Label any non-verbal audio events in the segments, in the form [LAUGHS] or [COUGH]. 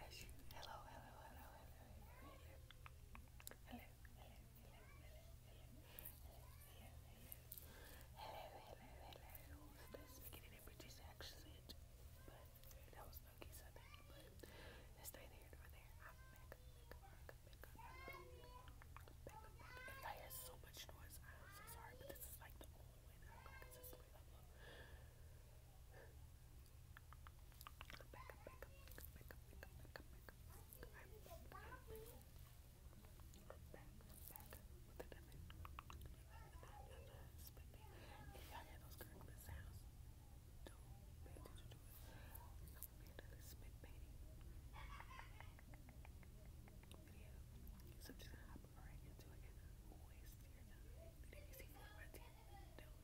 As you hello, hello, hello, hello, hello, hello, hello, hello, hello, hello, hello, hello, hello, hello, hello. That's beginning in British accent, but that was funky something. But it's neither here nor there. I'm back, back, back, back, back, back, back. If y'all hear so much noise, I'm so sorry, but this is like the only way that I'm gonna consistently upload. Back up, back up, back up, back up, back up, back up. I'm back, back, back with the diamond. If y'all hear those gurgling sounds, don't pay attention to it. We're gonna be into the spit painting video. So I'm just gonna hop right into it and waste your time. You didn't see the red team? No.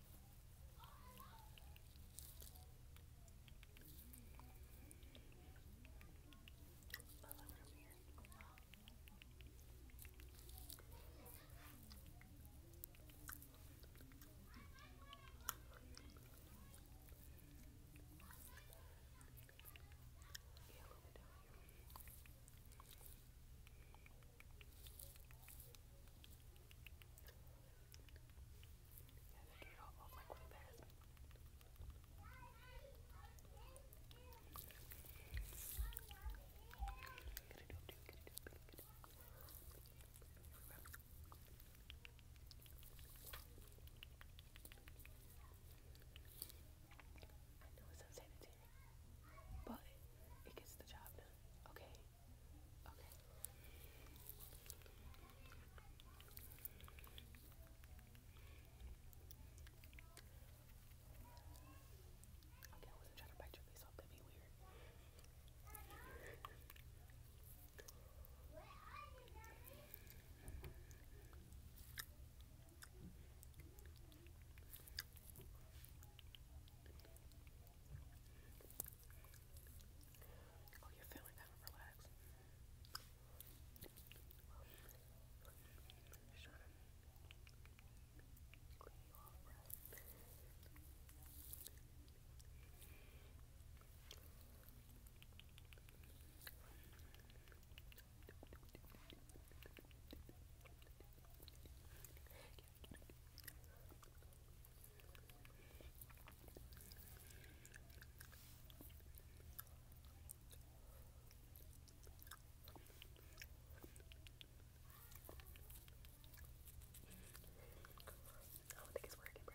Down here. I know it's unsanitary, but it gets the job done, okay? Okay. Okay, I wasn't trying to bite your face off. That'd be weird. Oh, you're feeling kind of relaxed. Just trying to clean you off, breath. Good. I don't think it's working, bro. it's working.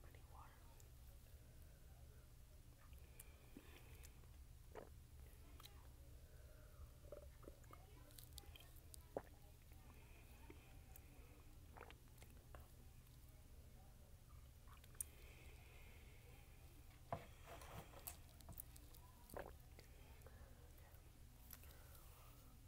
Pretty water.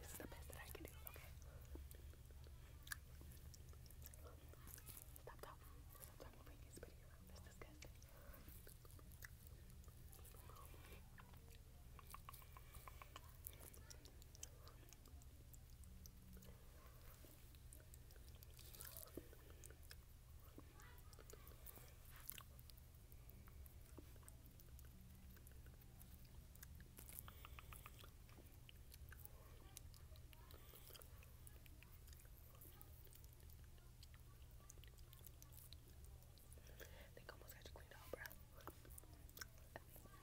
This is the best that I can do, okay? Stop talking. Stop talking before you I think I almost got you cleaned out, bruh. I think. I think.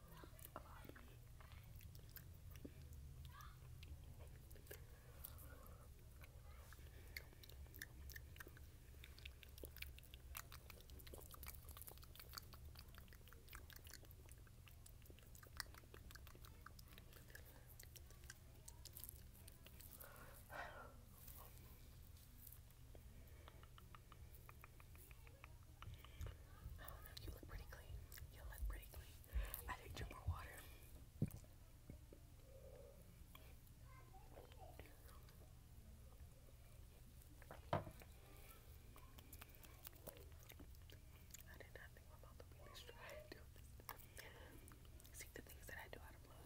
a Oh no, you look pretty clean. You look pretty clean. I need drink more water. I did not think my [LAUGHS] the things I do out The things I do out of love.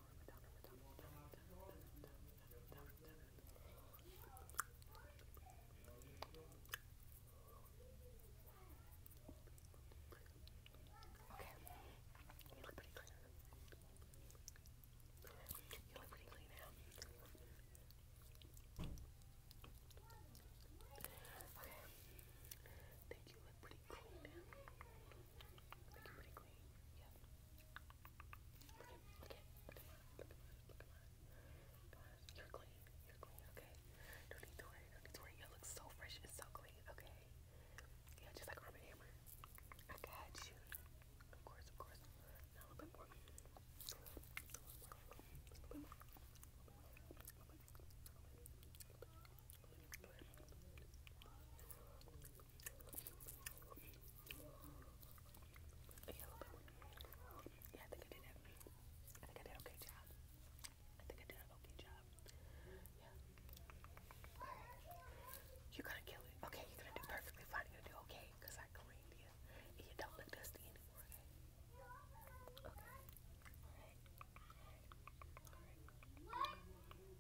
Okay, you look pretty clean. You look pretty clean now. Okay, I think you look pretty clean it. Make it pretty clean. Yeah. Look at, look at, look at mine. Look at You're clean. You're clean. Okay. No need to worry. No need to worry. You look so fresh and so clean. Okay. Yeah, just like Arm & I got you. Of course, of course. A little bit more. A little bit more. A little bit more. A little bit more. Yeah, You're gonna kill it. Okay, you're gonna do perfectly fine. You're gonna do okay, because I cleaned you. you don't look dusty anymore, okay?